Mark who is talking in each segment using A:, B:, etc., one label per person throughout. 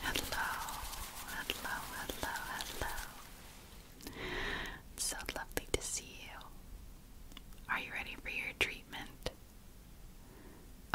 A: Hello, hello, hello, hello. so lovely to see you. Are you ready for your treatment?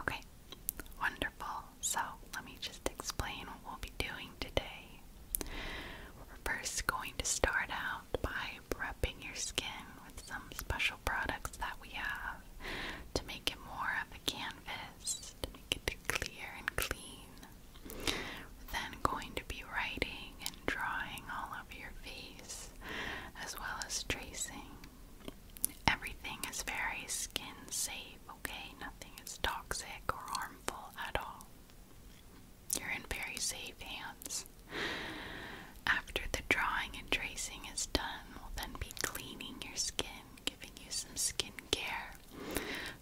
A: Okay, wonderful. So, let me just explain what we'll be doing today. We're first going to start out by prepping your skin with some special products that we have to make it more of a canvas, to make it clear and clean. We're then going to be writing and drawing all over your face as well as tracing. Everything is very skin safe, okay? Nothing is toxic or harmful at all. You're in very safe hands. After the drawing and tracing is done, we'll then be cleaning your skin, giving you some skin care,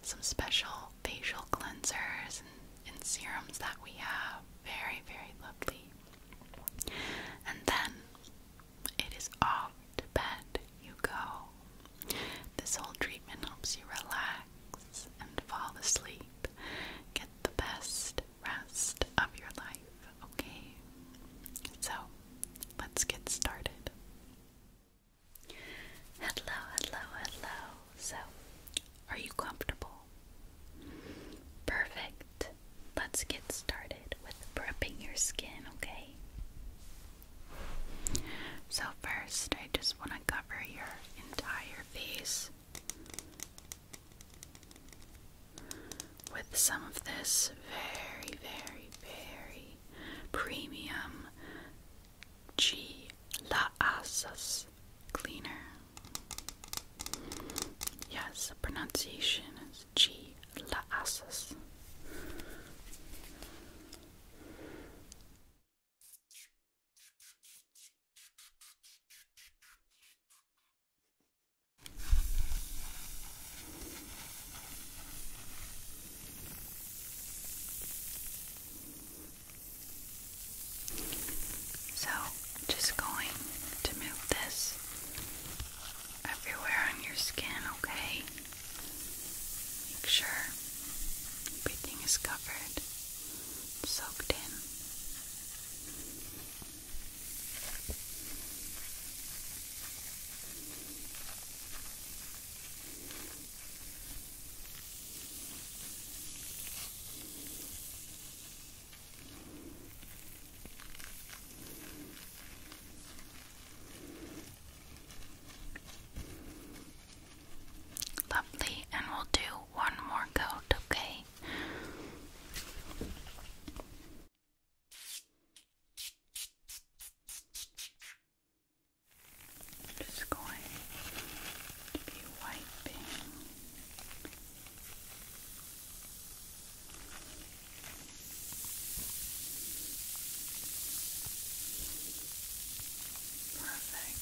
A: some special facial cleansers and, and serums that we have. Very, very lovely. And then it is off to bed you go. This whole treatment helps you relax and fall asleep. Get the best rest of your life, okay? So, let's get started. Hello, hello, hello. So, are you comfortable? Perfect. Let's get started with prepping your skin, okay? So, first, I just want to cover your entire face with some of this very, very, very premium G La Asas cleaner. Yes, the pronunciation is G La Asas. So, just going to move this everywhere on your skin, okay? Make sure everything is covered, soaked in. Lovely, and we'll do one more coat, okay? I'm just going to be wiping perfect.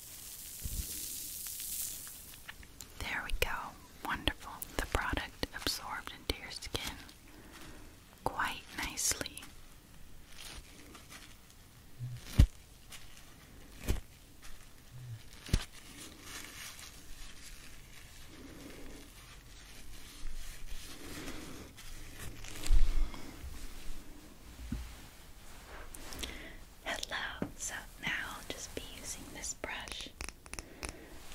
A: There we go. Wonderful. The product absorbed into your skin quite nicely. Hello. So now just be using this brush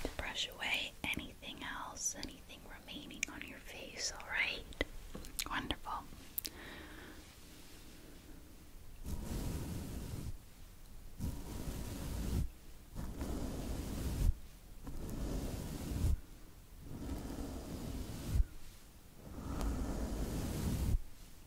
A: to brush away anything else, anything remaining on your face, alright? Wonderful.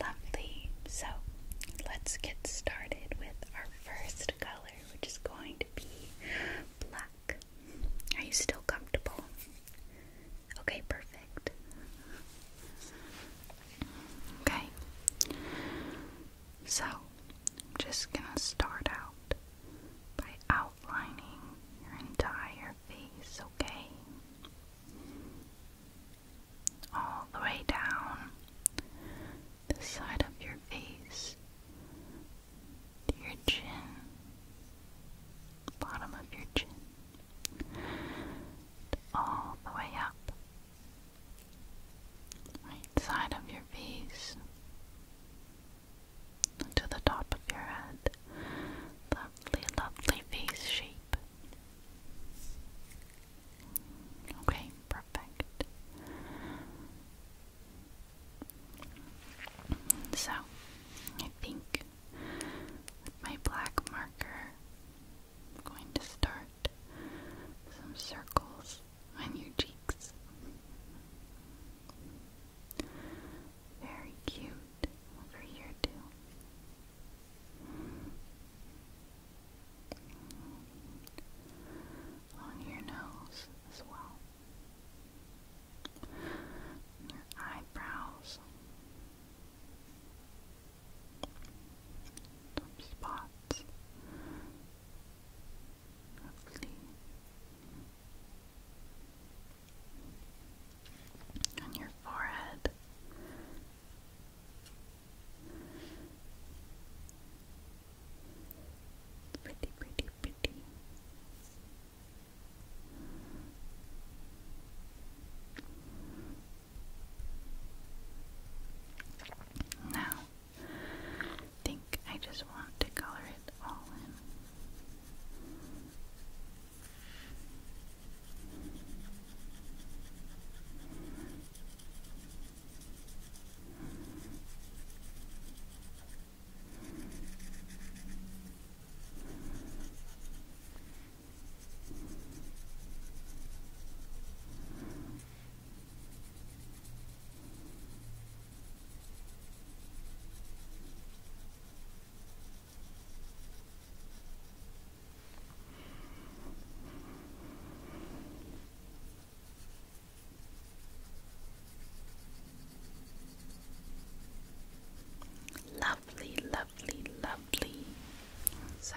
A: Lovely. So let's get started with our first color, which is going to be black. Are you still comfortable? Okay, perfect. Okay. So, I'm just gonna start out by outlining your entire face, okay? All the way down the side of your face, your chin, bottom of your chin, all the way up, right side of your face, to the top of your head. Lovely, lovely face shape. Okay, perfect. So, I think my black marker, I'm going to start some circles on your cheeks. Very cute over here too. Along your nose as well. Your eyebrows. Some spots. Lovely. On your forehead. Pretty, pretty, pretty. Now, think I just want to color it all in. Lovely, lovely, lovely. So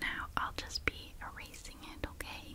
A: now I'll just be erasing it, okay?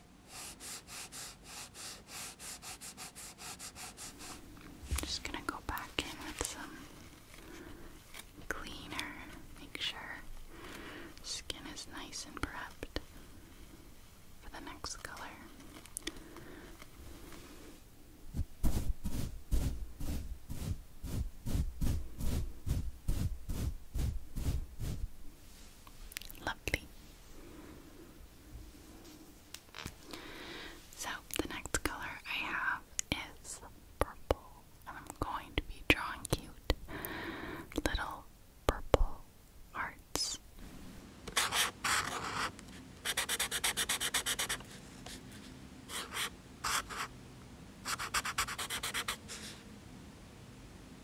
A: just gonna go back in with some cleaner, make sure skin is nice and prepped for the next color. Lovely. So, the next color I have is purple, and I'm going to be drawing cute little purple hearts.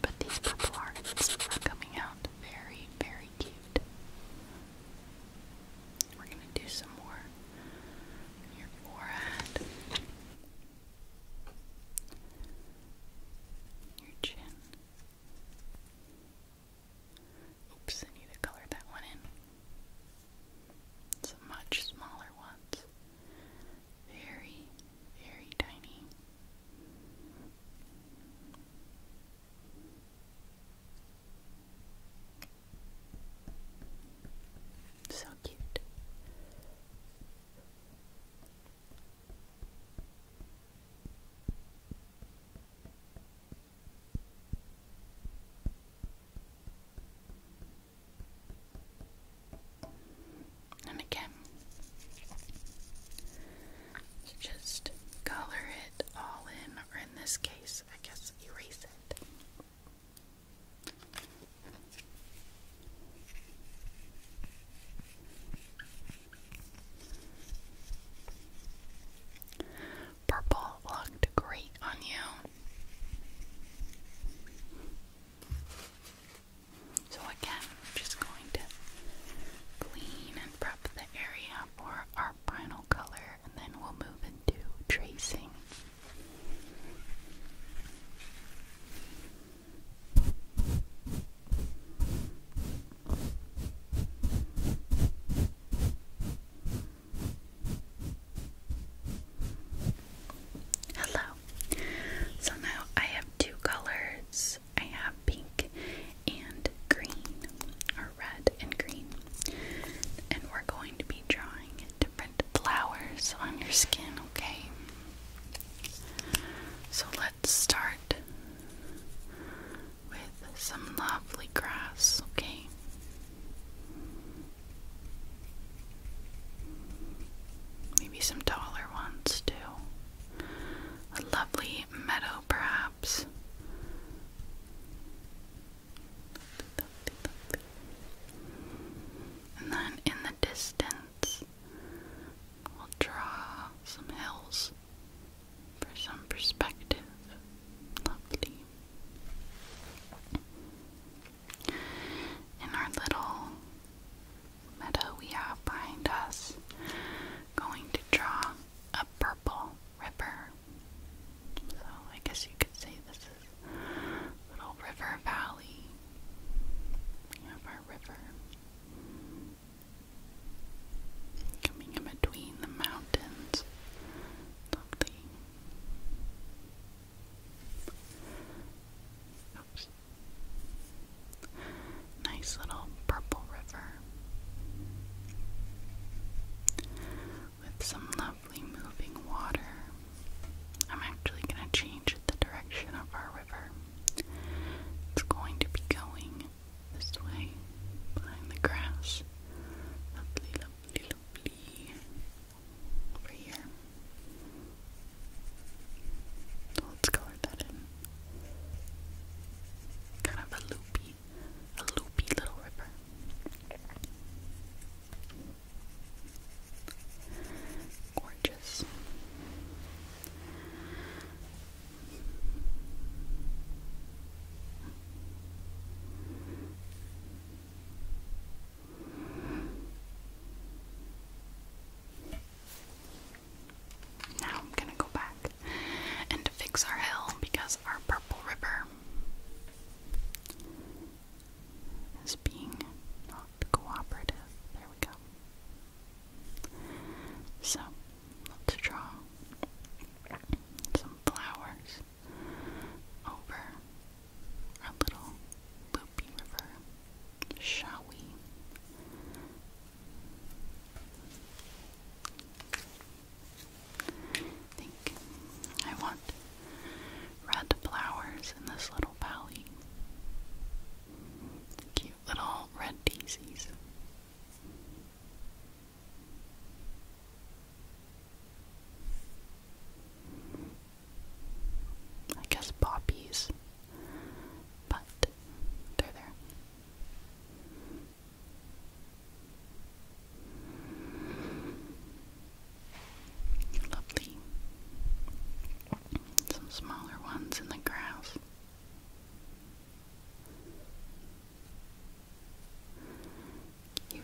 A: But these purple are coming out very, very cute. We're going to do some more your forehead, your chin. Oops, need to color that one in. It's much smaller ones. Very, very tiny. So cute. And again, just color it all in, or in this case, I guess erase it. Purple looked great on you. So, again, I'm just going to clean and prep the area for our final color and then we'll move into tracing. Hello. So now I have two colors. I have pink and green, or red and green. And we're going to be drawing different flowers on your skin, okay? So let's start with some lovely grass, okay? Maybe some taller ones too. A lovely meadow perhaps. And then in the distance, we'll draw some hills for some perspective. Lovely. In our little meadow we have behind us, going to draw a purple river. So I guess you could say this is little river valley. We have our river coming in between the mountains. Lovely. Nice little purple river with some lovely moving water. I'm actually going to change the direction of our river. It's going to be going this way behind the grass. Lovely, lovely, lovely. Over here. let's color that in. Kind of a loopy a loopy little river. Gorgeous. Now I'm going to go back and fix our hill because our purple river is being not cooperative. There we go. So let's draw some flowers over our little loopy river, shall we? I think I want red flowers in this little valley. Cute little red daisies. I guess poppies, but they're there. Lovely. Some smaller ones in the grass. Cute.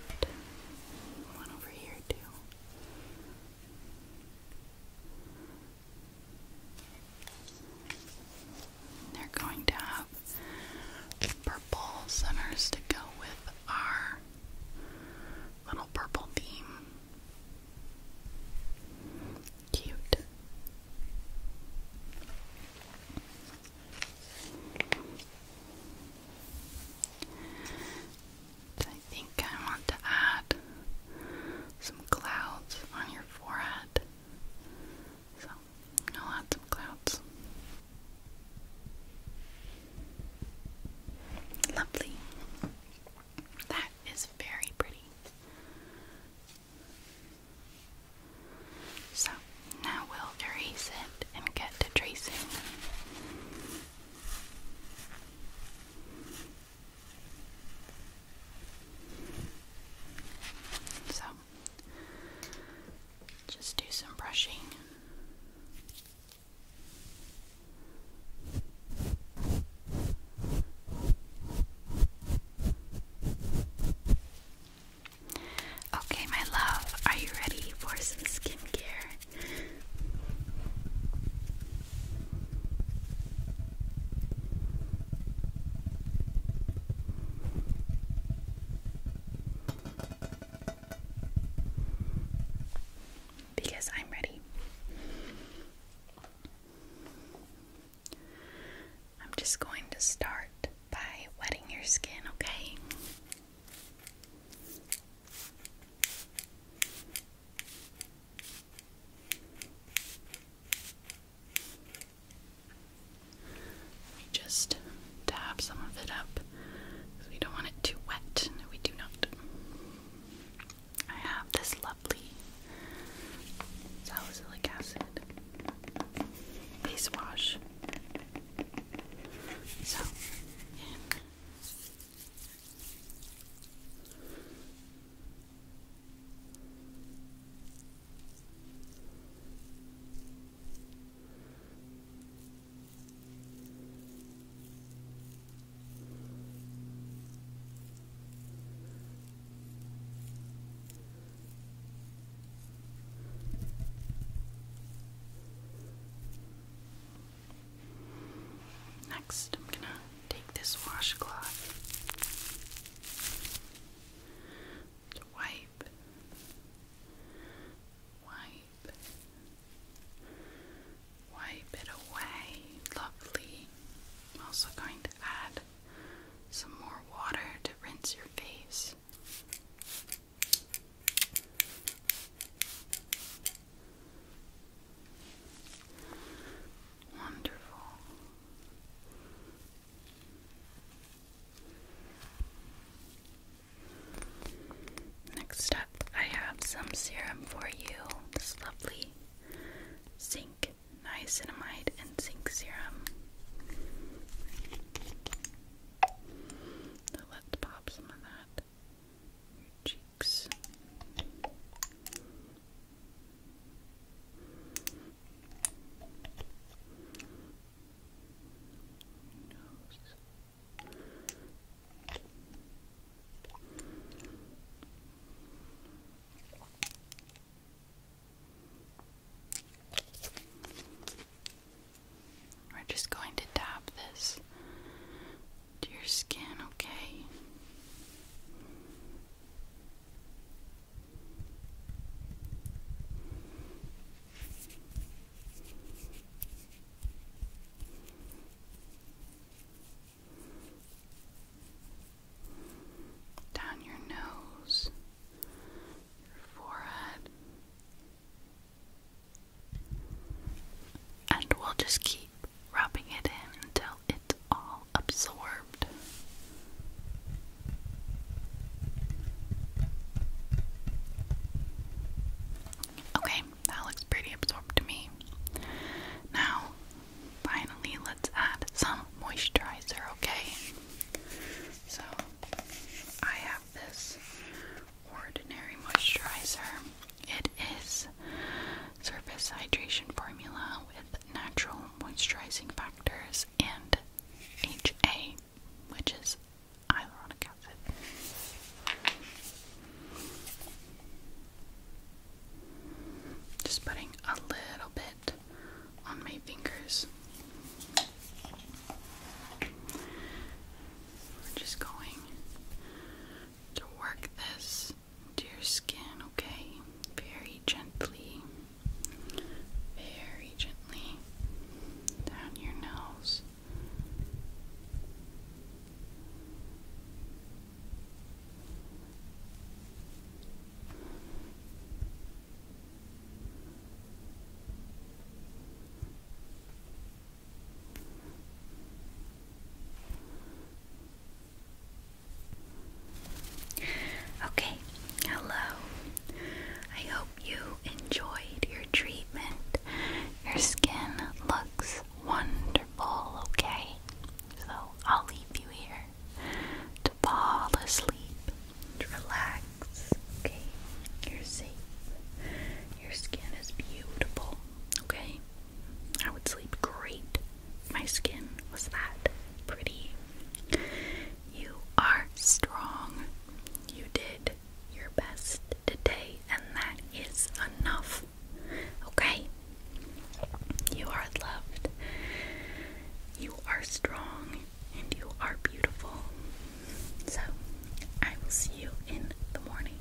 A: One over here, too. They're going down purple centers to go with our little purple theme. Cute. I think I want to add some clouds on your forehead. So lots of clouds. Lovely. That is very pretty. So now we'll erase it and get to tracing. So just do some brushing. Okay, my love, are you ready for some skincare? Because I'm ready. I'm just going to start by wetting your skin, okay? We just dab some of it up because we don't want it too wet. No, we do not. I have this lovely salicylic acid face wash. So, in Next, I'm going to take this washcloth to wipe wipe, wipe it away. Lovely. I'm also going to add some more water to rinse your face. Wonderful. Next up, I have some serum for you. This lovely zinc niacinamide and zinc serum. So let's pop some of that cheeks. We're just going to dab this to your skin, Okay down your nose, your forehead, and we'll just keep rubbing it in until it's all absorbed. Okay, that looks pretty absorbed to me. Now, finally, let's add some moisturizer, okay? So, I have this ordinary moisturizer. It is surface hydration formula with natural moisturizing factors and HA, which is hyaluronic acid. Just putting a little bit on my fingers. We're just going to work this into your skin, okay? Very gently, very gently down your nose. Okay, hello. I hope you enjoyed your treatment. Your skin looks wonderful, okay? So I'll leave you here to fall asleep, to relax, okay? You're safe. Your skin is beautiful, okay? I would sleep great. My skin was that pretty. You are strong. You did your best today, and that is enough. Okay? You are loved, you are strong, and you are beautiful. So, I will see you in the morning.